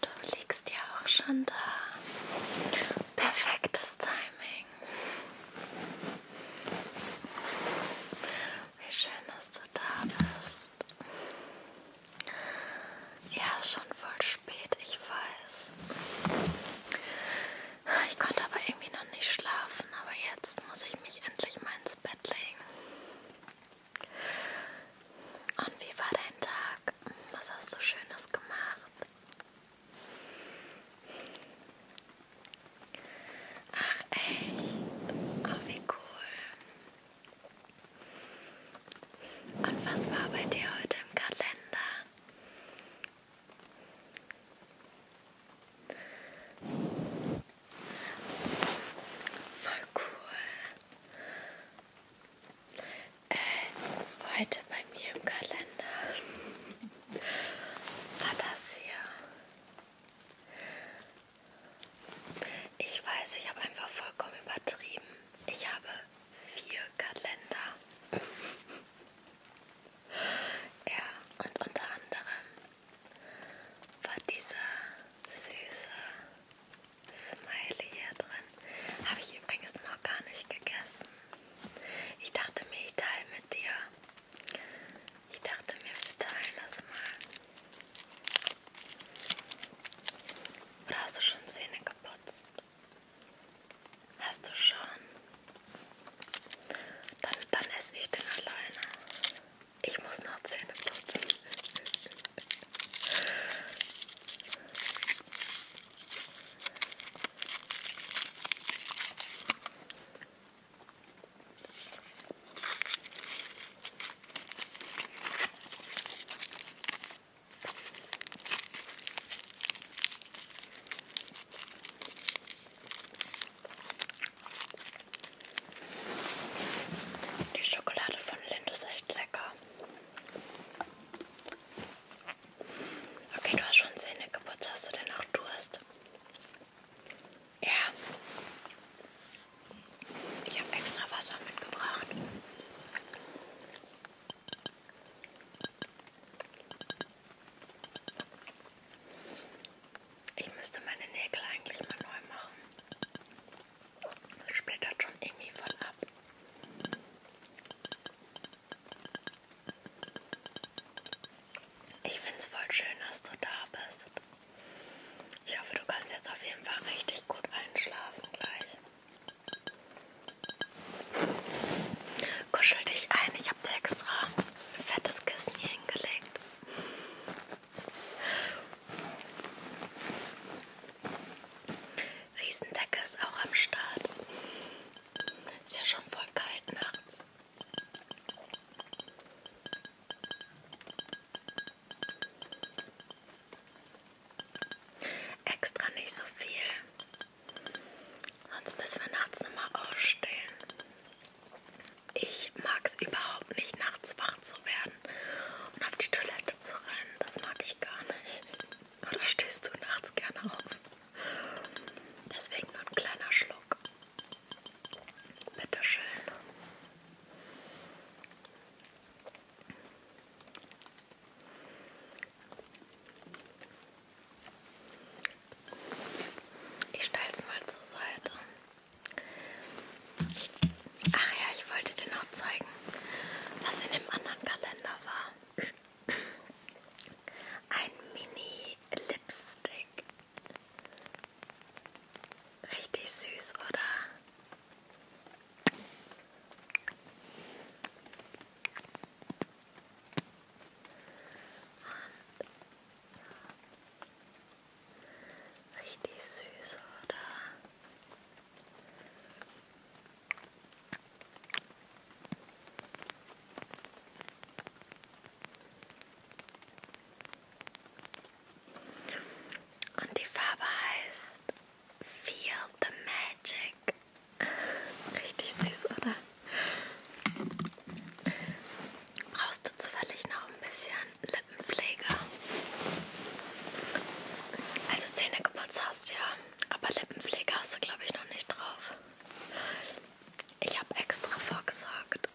Du liegst ja auch schon da. Perfektes Timing. Wie schön, dass du da bist. Ja, schon voll spät, ich weiß. Ich konnte aber irgendwie noch nicht schlafen, aber jetzt muss ich mich endlich mal ins Bett legen. Und wie war dein Tag? Was hast du Schönes gemacht? Ach echt? Oh, wie cool. Und was war bei dir heute im Kalender? Voll cool äh, heute bei mir im Kalender war das hier. Ich weiß, ich habe einfach vollkommen übertrieben. Ich habe vier Kalender. ja, und unter anderem war dieser süße Smiley hier drin. Habe ich übrigens noch gar nicht gegessen. Ich dachte mir, ich teile mit dir. Ich dachte mir, wir teilen das mal. Oder hast du schon Zähne geputzt? Hast du schon? Dann, dann esse ich den alleine. Ich muss noch Zähne putzen. Die Schokolade von Lind ist echt lecker. Okay, du hast schon Zähne geputzt. Hast du denn auch Durst? Ja. Ich habe extra Wasser mitgebracht. Ich müsste meine Nägel eigentlich mal neu machen splittert schon irgendwie voll ab. Ich finde es voll schön, dass du da bist. Ich hoffe, du kannst jetzt auf jeden Fall richtig gut einschlafen gleich. Kuschel dich ein, ich habe dir extra ein fettes Kissen hier hingelegt. Riesendecke ist auch am Start. Ist ja schon voll kalt nachts. Extra nicht so viel. Sonst müssen wir nachts nochmal aufstehen. Ich mag es überhaupt nicht, nachts wach zu werden werden und auf die Toilette zu rennen. Das mag ich gar nicht. Oder stehst du nachts gerne auf? Deswegen nur ein kleiner Schluck. Bitteschön. Ich stelle es mal zur Seite. Ach ja, ich wollte dir noch zeigen, was in dem anderen Kalender war. Ein Mini-Lipstick. Richtig süß, oder? Und Richtig süß, oder? Und die Farbe heißt Feel the Magic. Richtig süß, oder? Brauchst du zufällig noch ein bisschen Lippenpflege. Also Zähne geputzt hast ja, aber Lippenpflege hast du glaube ich noch nicht drauf. Ich habe extra vorgesorgt.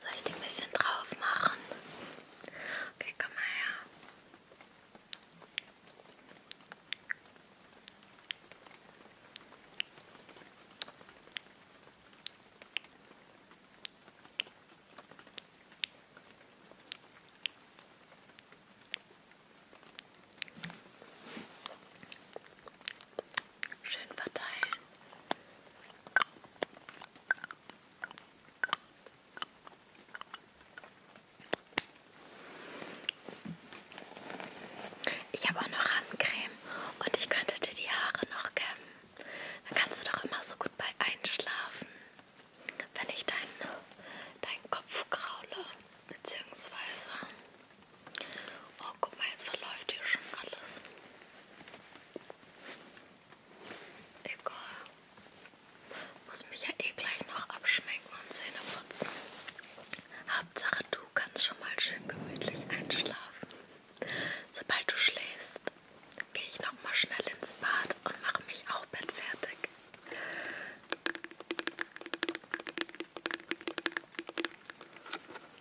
Soll ich die ein bisschen drauf machen? Okay, komm mal her schön verteilen. Ich habe auch noch Handcreme und ich könnte dir die Haare noch kämmen. Da kannst du doch immer so gut bei einschlafen, wenn ich deinen dein Kopf kraule, beziehungsweise Oh, guck mal, jetzt verläuft hier schon alles. Egal. Muss mich ja eh gleich noch abschmecken und Zähne putzen. Hauptsache, du kannst schon mal schön gemütlich einschlafen. Sobald du schläfst, gehe ich noch mal schnell ins Bad und mache mich auch Bett fertig.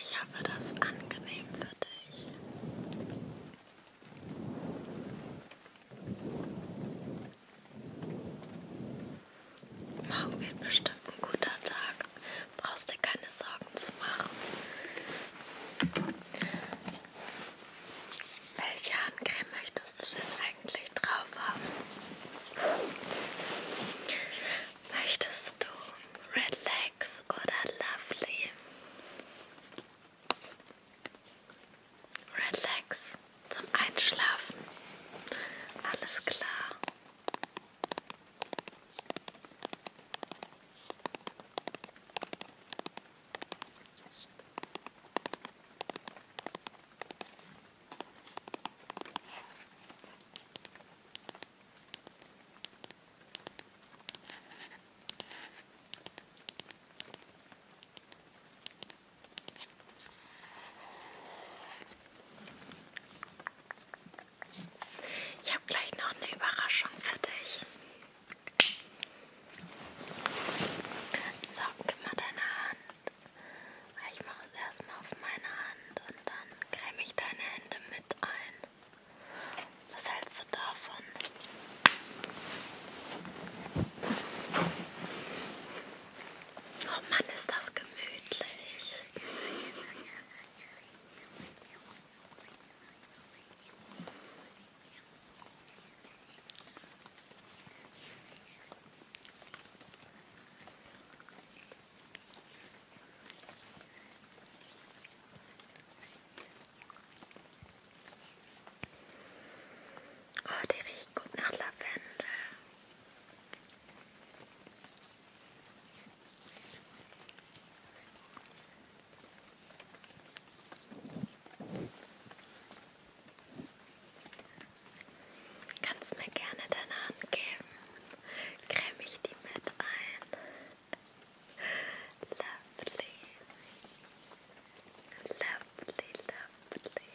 Ich hoffe, das ist angenehm für dich. Morgen wird bestimmt ein guter Tag. Brauchst dir keine Sorgen zu machen. Welche Handcreme möchtest du denn eigentlich drauf haben? Möchtest du Red Legs oder Lovely? Red Legs zum Einschlafen. Alles klar. Ich habe gleich noch eine Überraschung für dich. So, gib mal deine Hand. Ah, ich mache es erstmal auf meine Hand und dann creme ich deine Hände mit ein. Was hältst du davon? Oh Mann, ist das gemütlich. Oh, die riecht gut nach Lavendel. Kannst mir gerne deine Hand geben. Creme ich die mit ein. Lovely. Lovely, lovely. Lovely,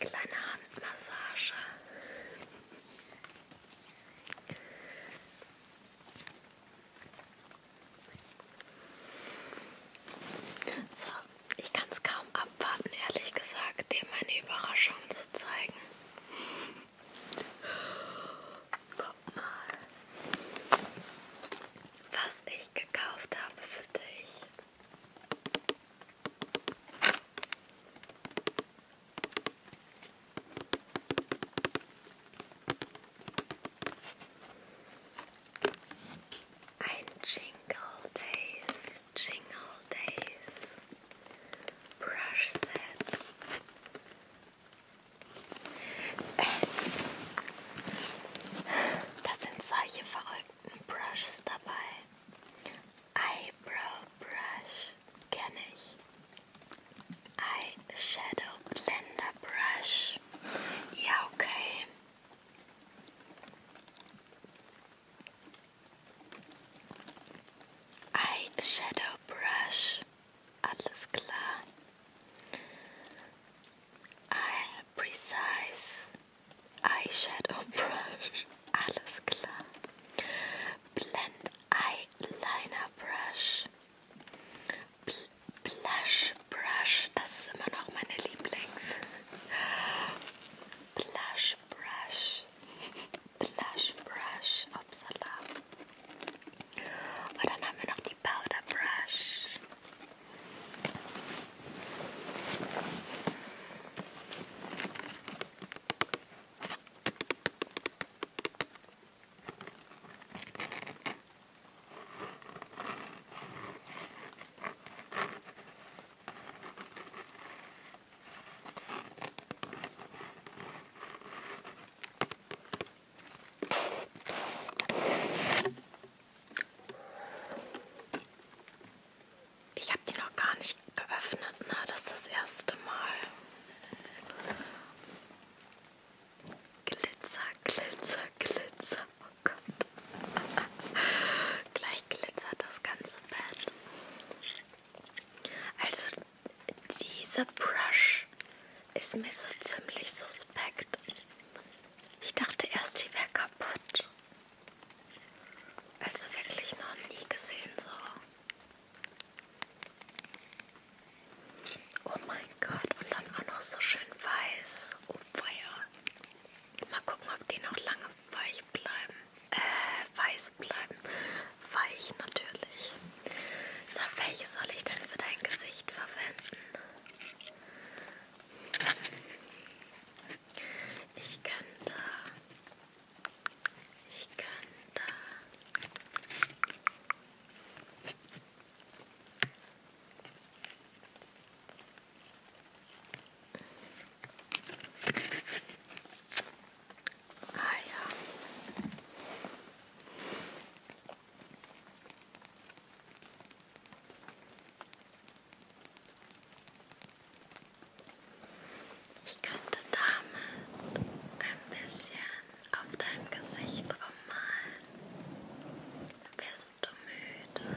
Kleine Handmassage. So, ich kann es kaum abwarten, ehrlich gesagt, dir meine Überraschung zu zeigen. Guck mal, was ich gekauft habe für dich. Ein Jingle Days, Jingle Days Brush Set da sind solche verrückten Brushes dabei. Eyebrow Brush kenne ich. Eyeshadow Blender Brush. Ja, okay. Eyeshadow Brush. Alles klar. Ein precise eyeshadow brush. Alles klar. Blend eyeliner brush. Blush brush. Das ist immer noch Blush brush. Blush brush. Upsala. Und dann haben wir noch die Powder Brush. Ich habe die noch gar nicht geöffnet, ne? Das ist das erste Mal. Glitzer, Glitzer, Glitzer. Oh Gott. Gleich glitzert das ganze Bett. Also diese Brush ist mir so ziemlich suspekt. Ich dachte erst, sie wäre kaputt. Also wirklich noch nie gesehen so. Oh mein Gott, und dann auch noch so schön weiß. Oh feier. Mal gucken, ob die noch lange weich bleiben. Äh, weiß bleiben. Weich natürlich. So, welche soll ich denn für dein Gesicht verwenden? Ich könnte. Ich könnte. Ah ja. Ich könnte damit ein bisschen auf dein Gesicht rummalen. Bist du müde?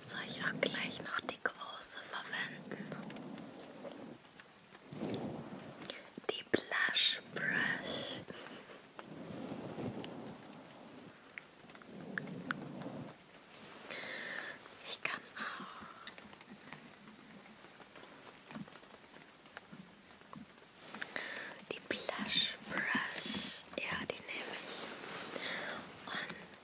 Soll ich auch gleich noch die große verwenden? Die Blush Brush. Ich kann auch. Die Blush Brush, ja, die nehme ich. Und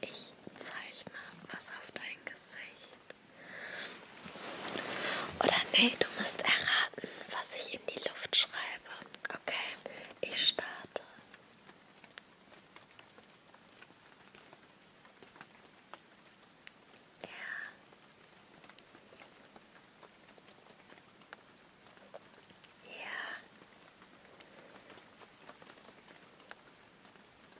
Ich zeichne was auf dein Gesicht. Oder nee, du musst erraten, was ich in die Luft schreibe. Okay, ich starte. Ja. Ja.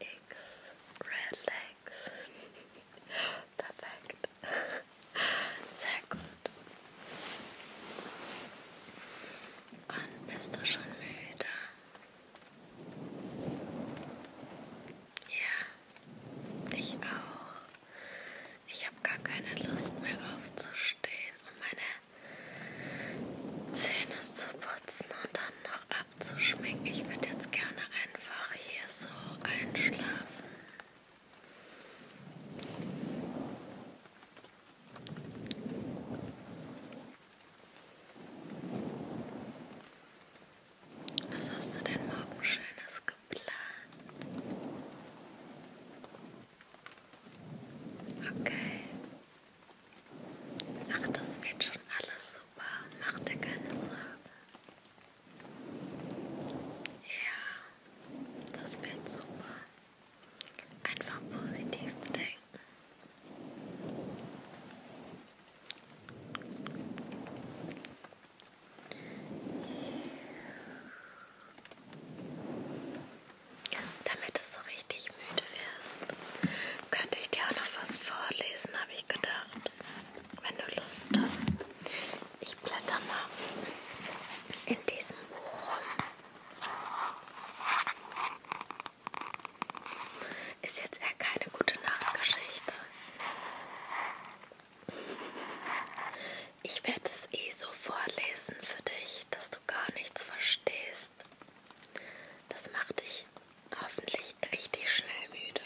X Relax. Perfekt. Sehr gut. Und bist du schon müde? Ja, ich auch. Ich habe gar keine Lust mehr aufzustehen und meine Zähne zu putzen und dann noch abzuschminken. Ich würde jetzt gerne einfach hier so einschlafen. Was hast du denn morgen Schönes geplant? Okay. Ach, das wird schon alles super. Mach dir keine Sorgen. Ja, das wird super. Einfach positiv denken. Damit du so richtig müde wirst, könnte ich dir auch noch was vorlesen, habe ich gedacht. Wenn du Lust hast. Ich blätter mal in diesem Buch rum. Ist jetzt eher keine gute Nachtgeschichte. Ich werde es eh so vorlesen für dich, dass du gar nichts verstehst. Das macht dich hoffentlich richtig schnell müde,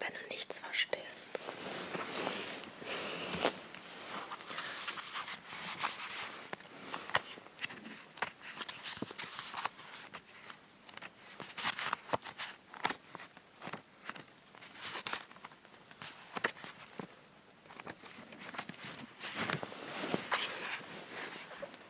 wenn du nichts verstehst.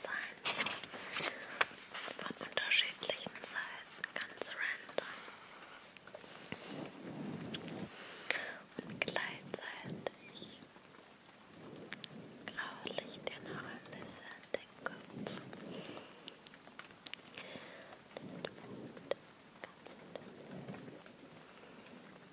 Zahlen von unterschiedlichen Seiten, ganz random und gleichzeitig graue ich dir noch ein bisschen den Kopf. Den Mund. Ganz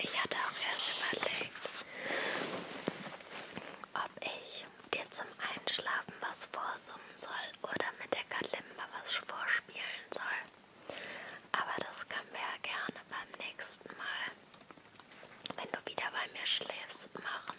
Ich hatte auch erst überlegt, ob ich dir zum Einschlafen was vorsummen soll oder mit der Kalimba was vorspielen soll. Aber das können wir ja gerne beim nächsten Mal, wenn du wieder bei mir schläfst, machen.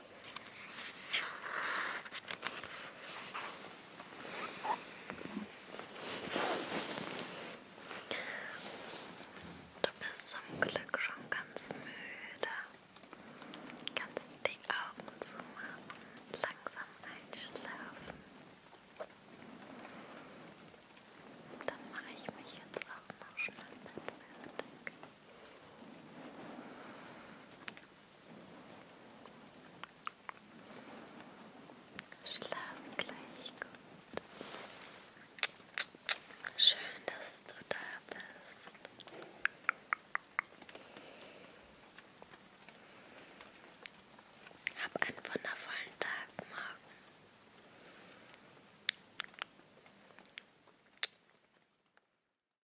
Du bist zum Glück schon ganz müde. Kannst die Augen zumachen und langsam einschlafen. Dann mache ich mich jetzt auch noch schnell mit fertig. Schlaf gleich gut. Schön, dass du da bist. Hab einen wundervollen Tag morgen.